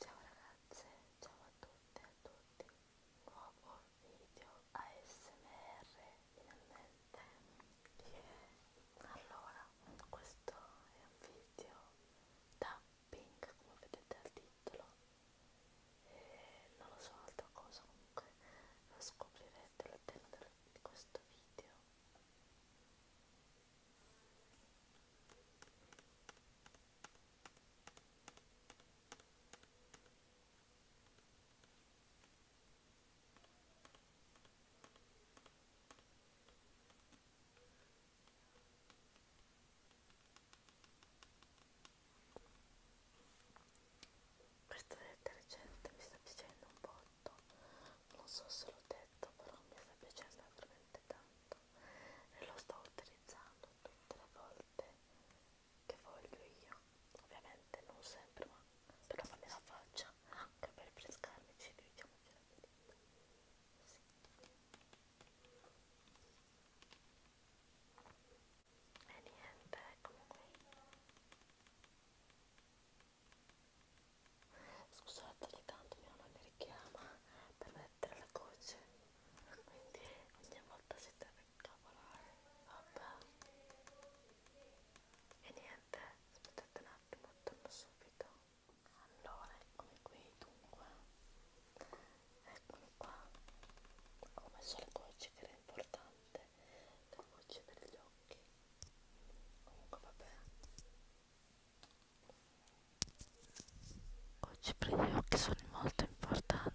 Ciao ragazze, ciao a tutte e a tutti, nuovo video ASMR finalmente. Yeah. Allora, questo è un video tapping, come vedete al titolo, e non lo so altra cosa, comunque lo scoprirete all'interno di questo video. Questo detergente mi sta piacendo un botto, non so se l'ho detto, però mi sta piacendo veramente tanto e lo sto utilizzando tutte le volte che voglio io ovviamente non sempre ma per lavarmi la faccia anche per frescarmi ci diciamo ce la sì. e niente eccomo qui Scusate, ogni tanto mia mamma mi richiama per mettere la goccia, quindi ogni volta si deve incavolare. Vabbè. E niente, aspettate un attimo, torno subito. Allora, eccomi qui, dunque. Eccomi qua. Ho messo le gocce che era importante, le gocce per gli occhi. Comunque vabbè. Oggi per gli occhi sono molto importante.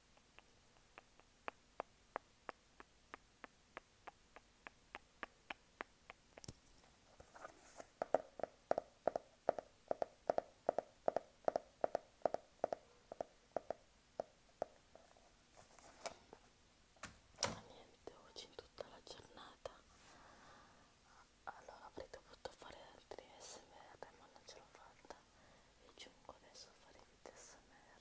niente oggi in tutta la giornata allora avrei dovuto fare altri smr ma non ce l'ho fatta e giungo adesso a fare il smr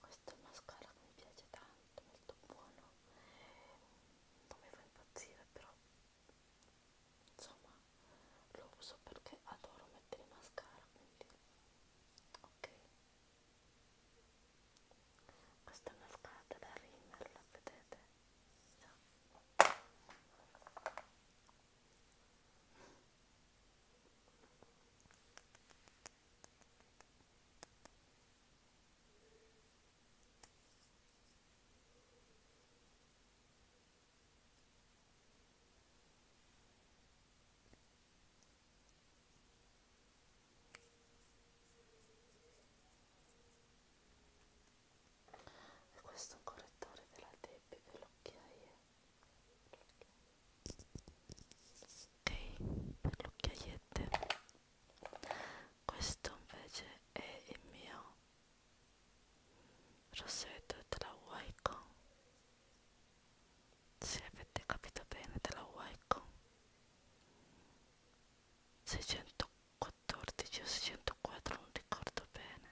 Questo è un mascara che mi piace tanto, molto buono, non mi fa impazzire però insomma lo uso perché adoro mettere mascara quindi ok questa è una scatola da Rimmel la vedete? No. E questo è un correttore della Debbie per l'occhiaie. Ok, per l'occhiaiette. Questo invece è il mio Rosetto te la vuoi con? Se avete capito bene te la vuoi con? 614 o 604 non ricordo bene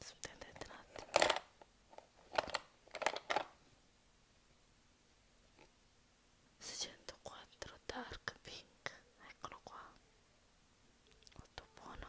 Aspettate un attimo Secentoquattro dark pink, eccolo qua molto buono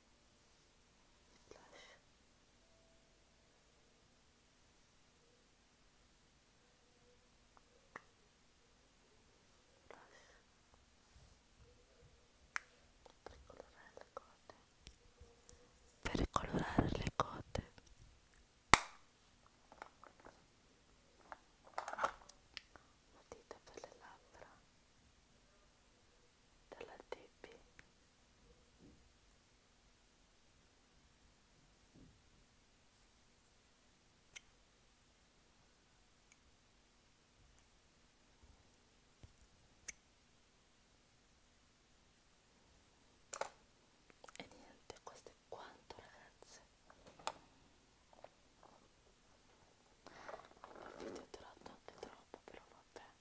Flash. Per colorare le cote. Per colorare le cote. Matita per le labbra dalla Debbie e niente questo è quanto ragazze il video è durato anche troppo però vabbè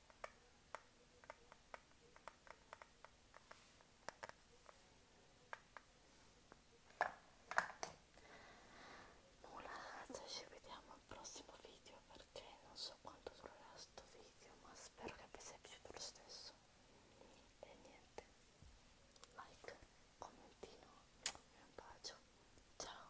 nulla ragazzi ci vediamo al prossimo video perché non so quanto durerà sto video ma spero che vi sia piaciuto lo stesso e niente like commentino e un bacio ciao